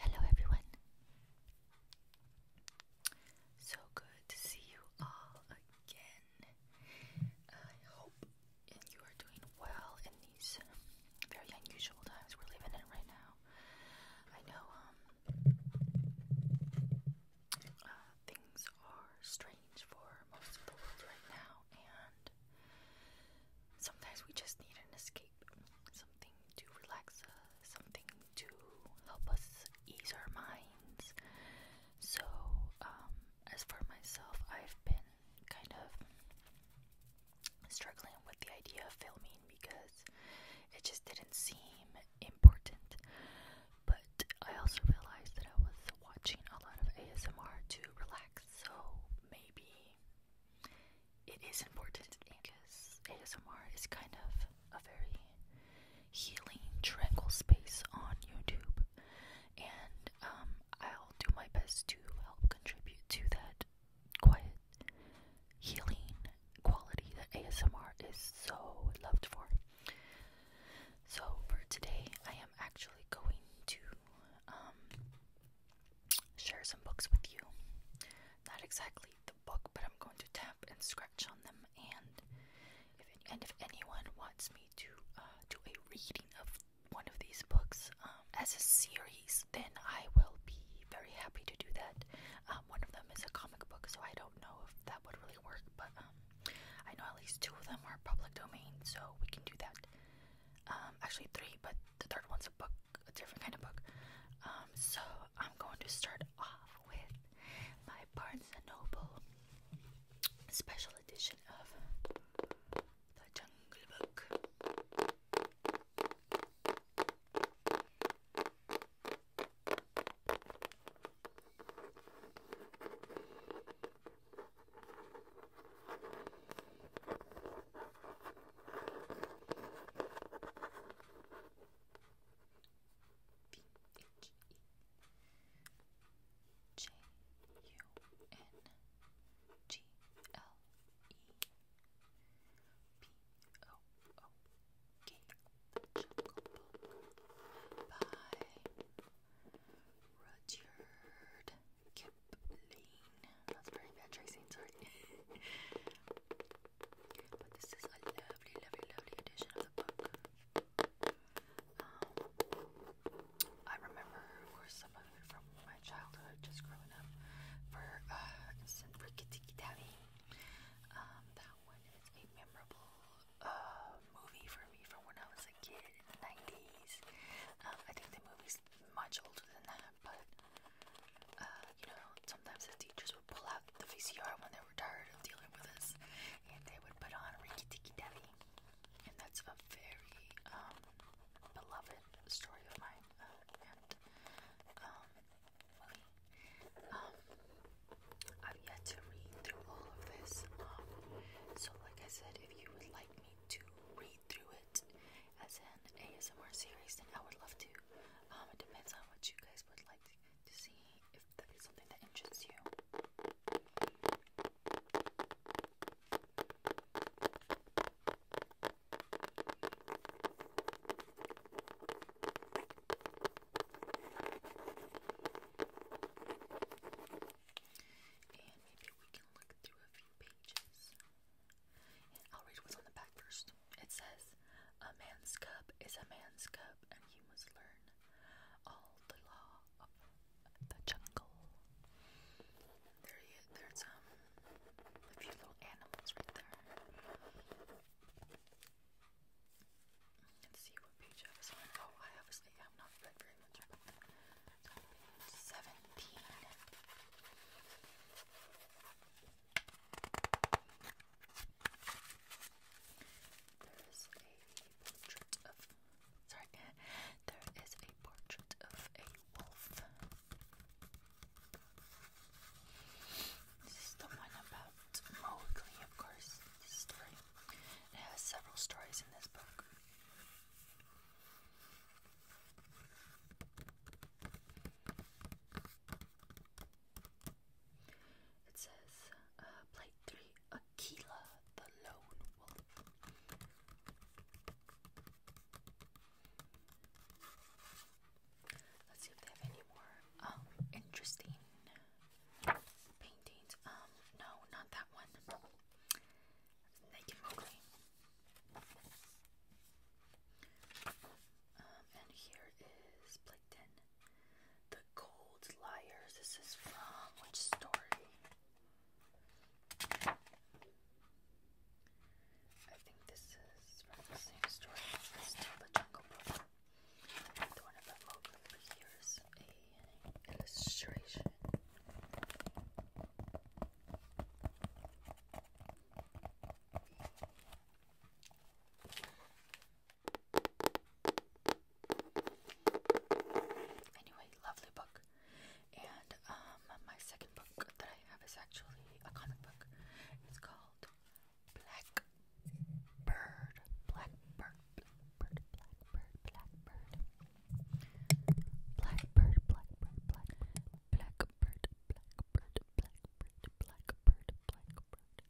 Hello, everyone. So good to see you all again. I hope you are doing well in these very unusual times we're living in right now. I know um, uh, things are strange for most of the world right now, and sometimes we just need an escape, something to relax us, something to help us ease our minds, so, um, as for myself, I've been kind of struggling with the idea of filming because it just didn't seem important. But I also realized that I was watching a lot of ASMR to relax, so maybe it is important because ASMR is kind of a very Healing tranquil Space on YouTube, and um, I'll do my best to help contribute to that quiet healing quality that ASMR is so loved for. So for today, I am actually going to um, share some books with you. Not exactly the book, but I'm going to tell and scratch on them. And if anyone wants me to uh, do a reading of one of these books um, as a series, then I will be very happy to do that. Um, one of them is a comic book, so I don't know if that would really work, but um, I know at least two of them are public domain, so we can do that. actually, three, but the third one's a book, a different kind of book. so I'm going to start off with my Barnes and Noble special edition of the Jungle Book. V H E J U N G L E P O O K The by Rudyard Kipling. That's very bad tracing, sorry. but this is a lovely, lovely, lovely edition of the book. Um, I remember, of some of from my childhood, just growing up. For uh, instance, for Kitiki um, that one is a memorable uh, movie for me from when I was a kid in the 90s. Um, I think the movie's much older than that, but uh, you know, sometimes the teachers would pull out the VCR when they were tired of dealing with us and they would put on Riki Tiki Devi, and that's a very um, beloved story of mine uh, and um, um, I've yet to read through all of this, so like I said, if you would like me to read through it as an ASMR series, then I would love to. it depends on what you guys would like. To to see if that is something that interests you. And maybe we can look through a few pages. I'll read what's on the back first. It says, A man's cup is a man's cup, and he must learn all the law of the jungle. There, there's um a few little animals right there. Let's see what page I was on. Oh, I obviously have not read very much Seventeen. There's a Sorry, there is a portrait of a wolf. This is the one about Mowgli, of course. This story. It has several stories in this book. It says, uh, plate 3 of Kila, the Lone Wolf. Let's see if they have any more um, interesting paintings. Um, no, not that one. Naked Mowgli. Um, and here is Plankton. The cold Liars. This is from which story? I think this is from the same story as Till the Jungle Book. The one about Mowgli, but here's a illustration. Anyway, lovely book. And um, my second book that I have is actually a comic book. It's called Black Bird. Black Bird. Blackbird, Blackbird, Blackbird. Blackbird, Blackbird, Blackbird. Blackbird, Blackbird, Blackbird, Blackbird, Blackbird.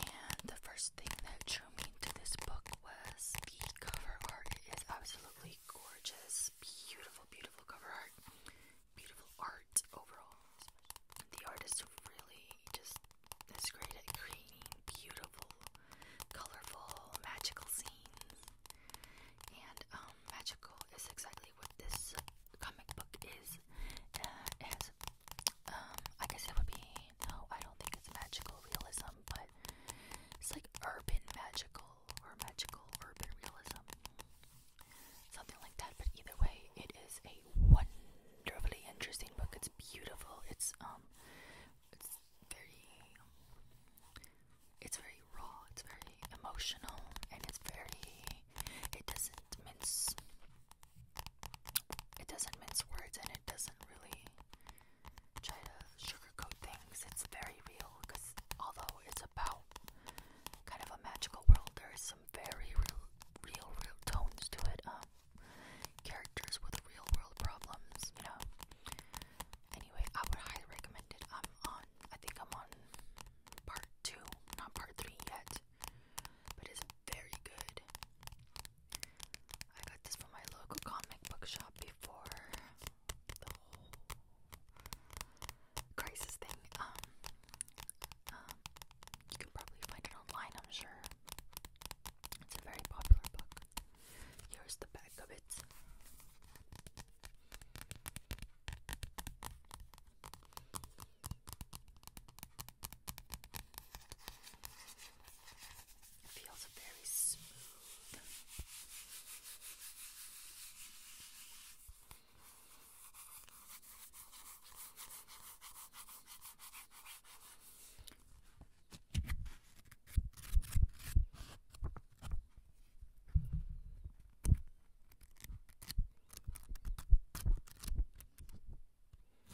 And the first thing that drew me to this book was the cover art. It is absolutely gorgeous. Beautiful, beautiful cover art. Beautiful art overall. The artist really just is great at creating beautiful, colorful, magical scenes. And um, magical is exactly what this comic book is. Uh, um, I guess it would be no, I don't think it's magical realism, but it's like urban magical or magical urban realism, something like that. But either way, it is a wonderfully interesting book. It's beautiful. It's um, it's very, it's very raw. It's very emotional, and it's very. It doesn't mince it doesn't mince words and it doesn't really try to sugarcoat things. It's very real because although it's about kind of a magical world, there is some very real, real, real tones to it. Um, characters with real world problems, you know. Anyway, I would highly recommend it. I'm on, I think I'm on part two, not part three yet but it's very good. I got this from my local comic book shop before the whole crisis thing. um, um you can probably find it online, I'm sure. It's a very popular book. Here's the back of it. It feels very smooth. All there's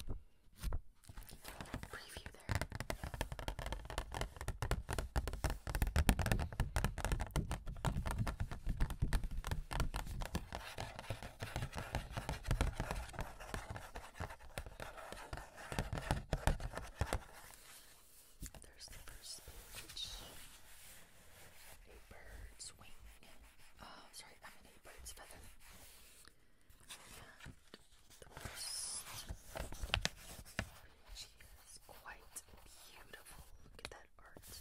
the first page. A bird's wing. Oh, sorry, a bird's feather and is quite beautiful. Look at that art.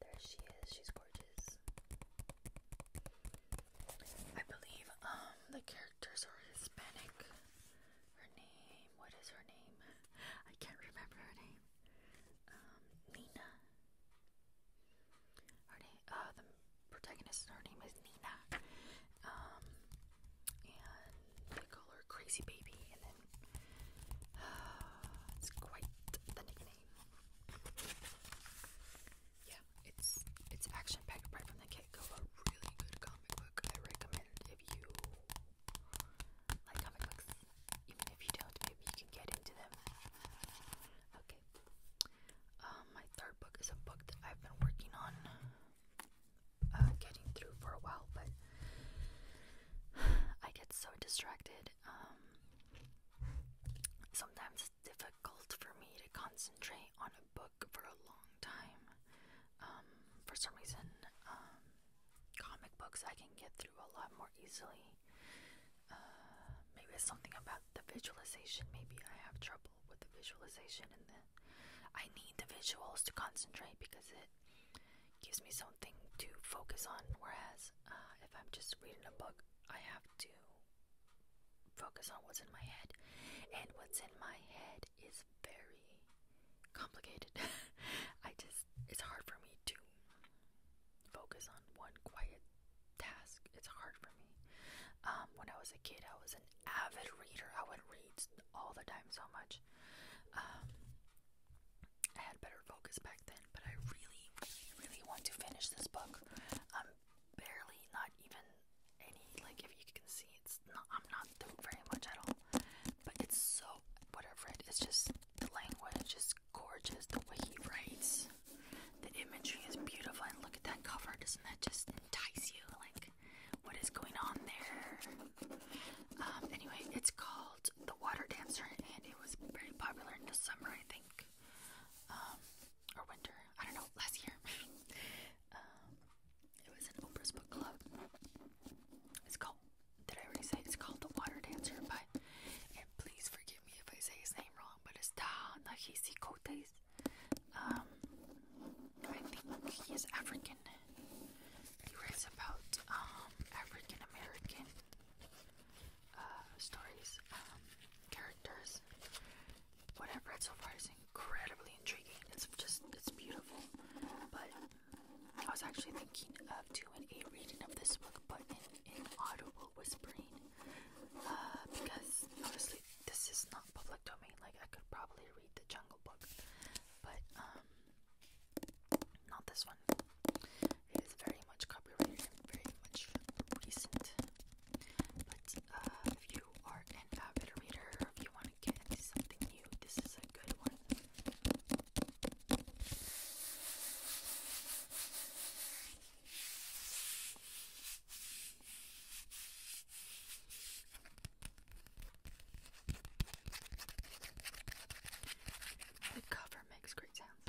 There she is. She's gorgeous. I believe um the characters are Hispanic. Her name, what is her name? I can't remember her name. Um, Nina. Her name, uh, the protagonist, her name is Nina. Um, and they call her Crazy Baby, and then uh, it's quite the nickname. Yeah, it's it's action packed right from the get Gecko a really good comic book. I recommend if you like comic books, even if you don't, maybe you can get into them. Okay. Um, my third book is a book that I've been working on uh, getting through for a while, but I get so distracted. Um, sometimes it's difficult for me to concentrate on a book for a long time. Um, for some reason, um, comic books I can get through a lot more easily. Uh, maybe it's something about the visualization. Maybe I have trouble with the visualization, and then I need the visuals to concentrate because it gives me something to focus on. Whereas uh, if I'm just reading a book, I have to focus on what's in my head, and what's in my head side is very complicated. I just, it's hard for me to focus on one quiet task. It's hard for me. Um, when I was a kid, I was an avid reader. I would read all the time so much. Um, I had better focus back then, but I really, really want to finish this book. I'm barely not even any like if you can see it's I'm not doing very much at all. But it's so what I've just the language is gorgeous, the way he writes. The imagery is beautiful and look at that cover, doesn't that just entice you? Like what is going on there? Um anyway, it's called The Water Dancer and it was very popular in the summer I think. Um or winter, I don't know, last year. Um, it was an Oprah's book club. It's called, did I already say it's called The Water Dancer? by. and please forgive me if I say his name wrong, but it's Ta Nahisi Kotes. Um, I think he is African. He writes about um, African American uh, stories, um, characters, whatever. It's surprising incredibly intriguing. It's just, it's beautiful. But I was actually thinking of doing a reading of this book, but in, audible whispering. Uh, because honestly, this is not public domain. Like, I could probably read the Jungle Book, but um, not this one. It is very much copyrighted and very much recent. But uh, if you you are an avid reader if you want to get into something new, this is a good one. The cover makes great sounds.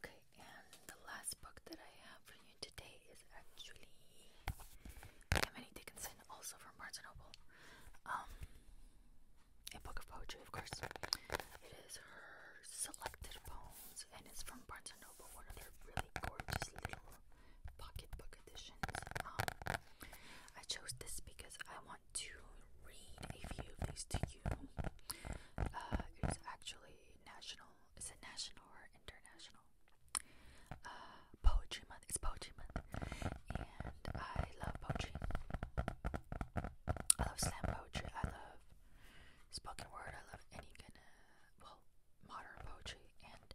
Okay, and the last book that I have for you today is actually Emily Dickinson, also from Barnes & Noble. Um, a book of poetry, of course. It is her selected poems, and it's from Barnes & Noble, one of their really gorgeous little pocket book editions. Um, I chose this because I want to read a few of these to you. Uh, it's actually national. Is it national or international? Uh, poetry month. It's poetry month, and I love poetry. I love slam poetry. I love spoken word. I love any kind of well modern poetry and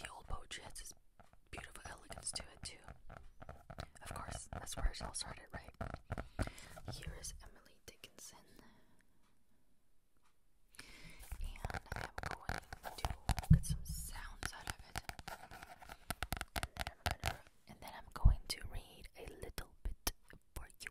the old poetry is beautiful elegance to it, too. Of course, that's where it all started, right? Here is Emily Dickinson. And I'm going to get some sounds out of it. And then I'm going to read a little bit for you.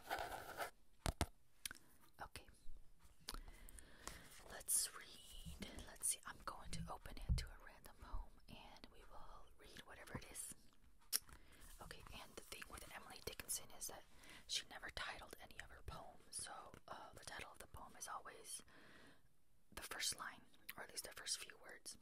Okay. Let's read. Let's see. I'm going to open it to a random home and we will read whatever it is. Okay, and the thing with Emily Dickinson is that she never titled any of her poems, so uh, the title of the poem is always the first line, or at least the first few words.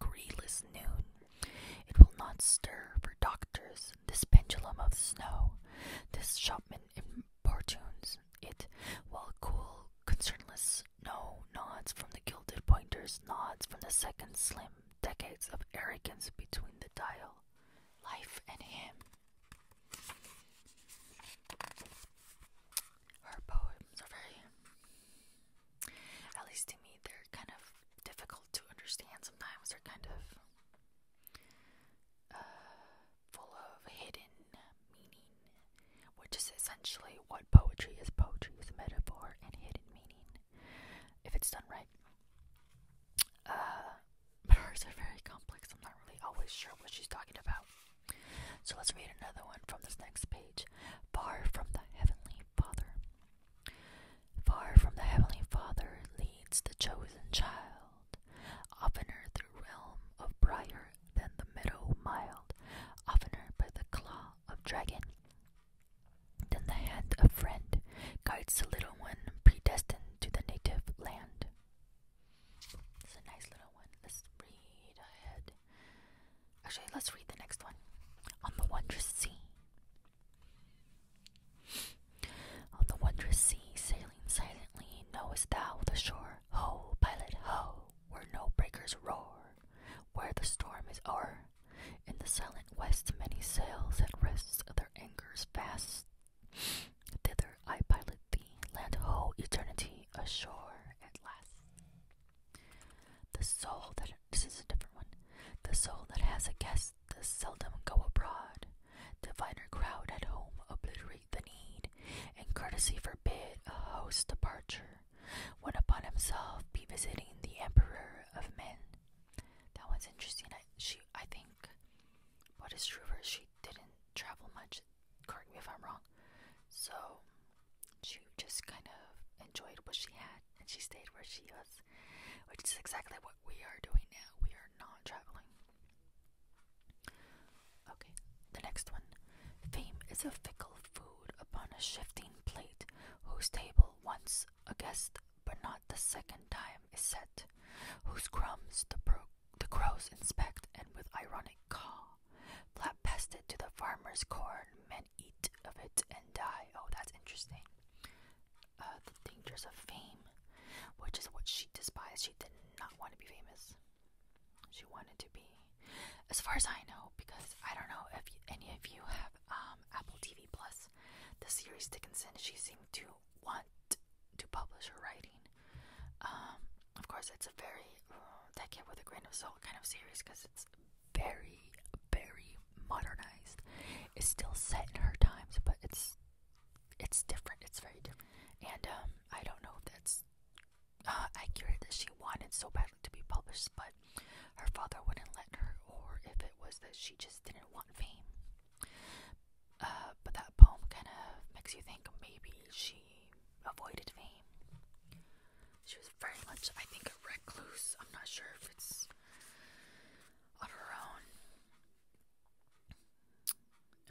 greeless noon. It will not stir for doctors, this pendulum of snow, this shopman importunes it, while cool, concernless no nods from the gilded pointers, nods from the second slim, decades of arrogance between the dial, life and him her poems are very, at least to me, they're kind of difficult to understand sometimes. They're kind of uh, full of hidden meaning, which is essentially what poetry is. Poetry is metaphor and hidden meaning, if it's done right. Uh, but hers are very complex. I'm not really always sure what she's talking about. So let's read another one from this next page. Far from the Heavenly Father. Far from the Heavenly Father leads the chosen child, oftener through realm of briar than the meadow mild, oftener by the claw of dragon. Then the hand of friend guides the little one predestined to the native land. It's a nice little one. Let's read ahead. Actually, let's read the next one. On the wondrous sea. On the wondrous sea, sailing silently, knowest thou the shore? Ho, pilot, ho, where no breakers roar, where the storm is o'er. In the silent west, many sails at rest, their anchors fast. Thither I pilot thee, land ho, eternity, ashore at last. The soul that this is a different one. The soul that has a guest does seldom go abroad. The finer crowd at home obliterate the need, and courtesy forbid a host's departure, when upon himself be visiting the emperor of men. That one's interesting. I, she, I think, what is true of she didn't travel much. Correct me if I'm wrong. So she just kind of enjoyed what she had and she stayed where she was, which is exactly what we are doing now. We are not traveling. Okay, the next one. Fame is a fickle food upon a shifting plate, whose table once a guest, but not the second time, is set, whose crumbs the, pro the crows inspect and with ironic call, flap pested to the farmer's corn eat of it and die. Oh, that's interesting. Uh, the dangers of fame, which is what she despised. She did not want to be famous. She wanted to be, as far as I know, because I don't know if any of you have um, Apple TV Plus. The series Dickinson, she seemed to want to publish her writing. Um, of course, it's a very uh, with a grain of salt kind of series because it's very, very modernized. It's still set in her times, but it's it's different. It's very different. And um, I don't know if that's uh, accurate that she wanted so bad to be published, but her father wouldn't let her, or if it was that she just didn't want fame. Uh, but that poem kind of makes you think maybe she avoided fame. She was is very much, I think, a recluse. I'm not sure if it's on her own,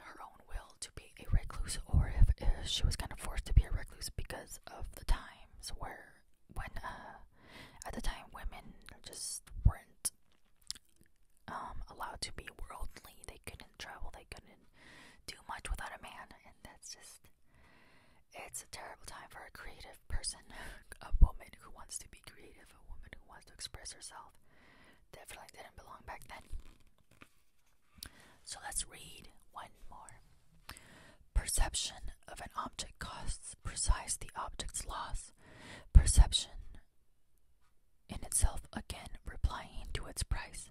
her own will to be a recluse, or if, if she was kind of forced to be a recluse because of the times where, when, uh, at the time, women just weren't um, allowed to be worldly. They couldn't travel. They couldn't do much without a man, and that's just it's a terrible time for a creative person, a woman who wants to be creative, a woman who wants to express herself. Definitely didn't belong back then. So let's read one more. Perception of an object costs precise the object's loss. Perception in itself again replying to its price.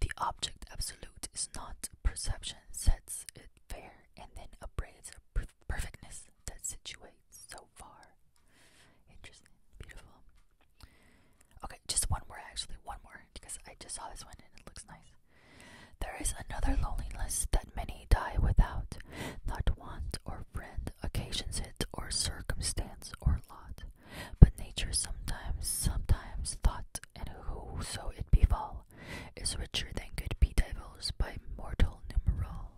The object absolute is not perception, sets it fair and then upbraids a perfectness that situates so far. Interesting, beautiful. Okay, just one more actually, one more because I just saw this one and it looks nice. There is another loneliness that many die without, not want or friend occasions it or circumstance or lot, but nature sometimes, sometimes thought, and who so it befall is richer than could be divulged by mortal numeral.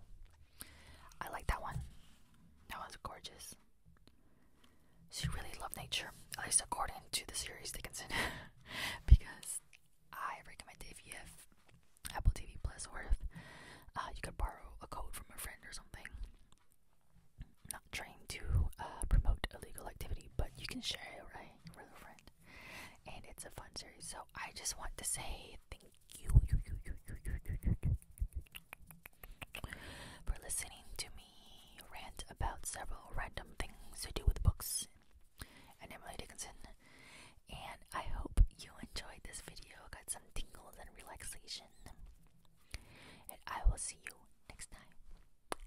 I like that one. That one's gorgeous. She really loved nature, at least according to the series Dickinson. because I recommend if you have Apple TV Plus or if uh, you could borrow a code from a friend or something. not trying to uh, promote illegal activity, but you can share it, right, with a friend and it's a fun series. So I just want to say thank you for listening to me rant about several random things to do with books and Emily Dickinson. And I hope you enjoyed this video, got some tingles and relaxation. And I will see you next time.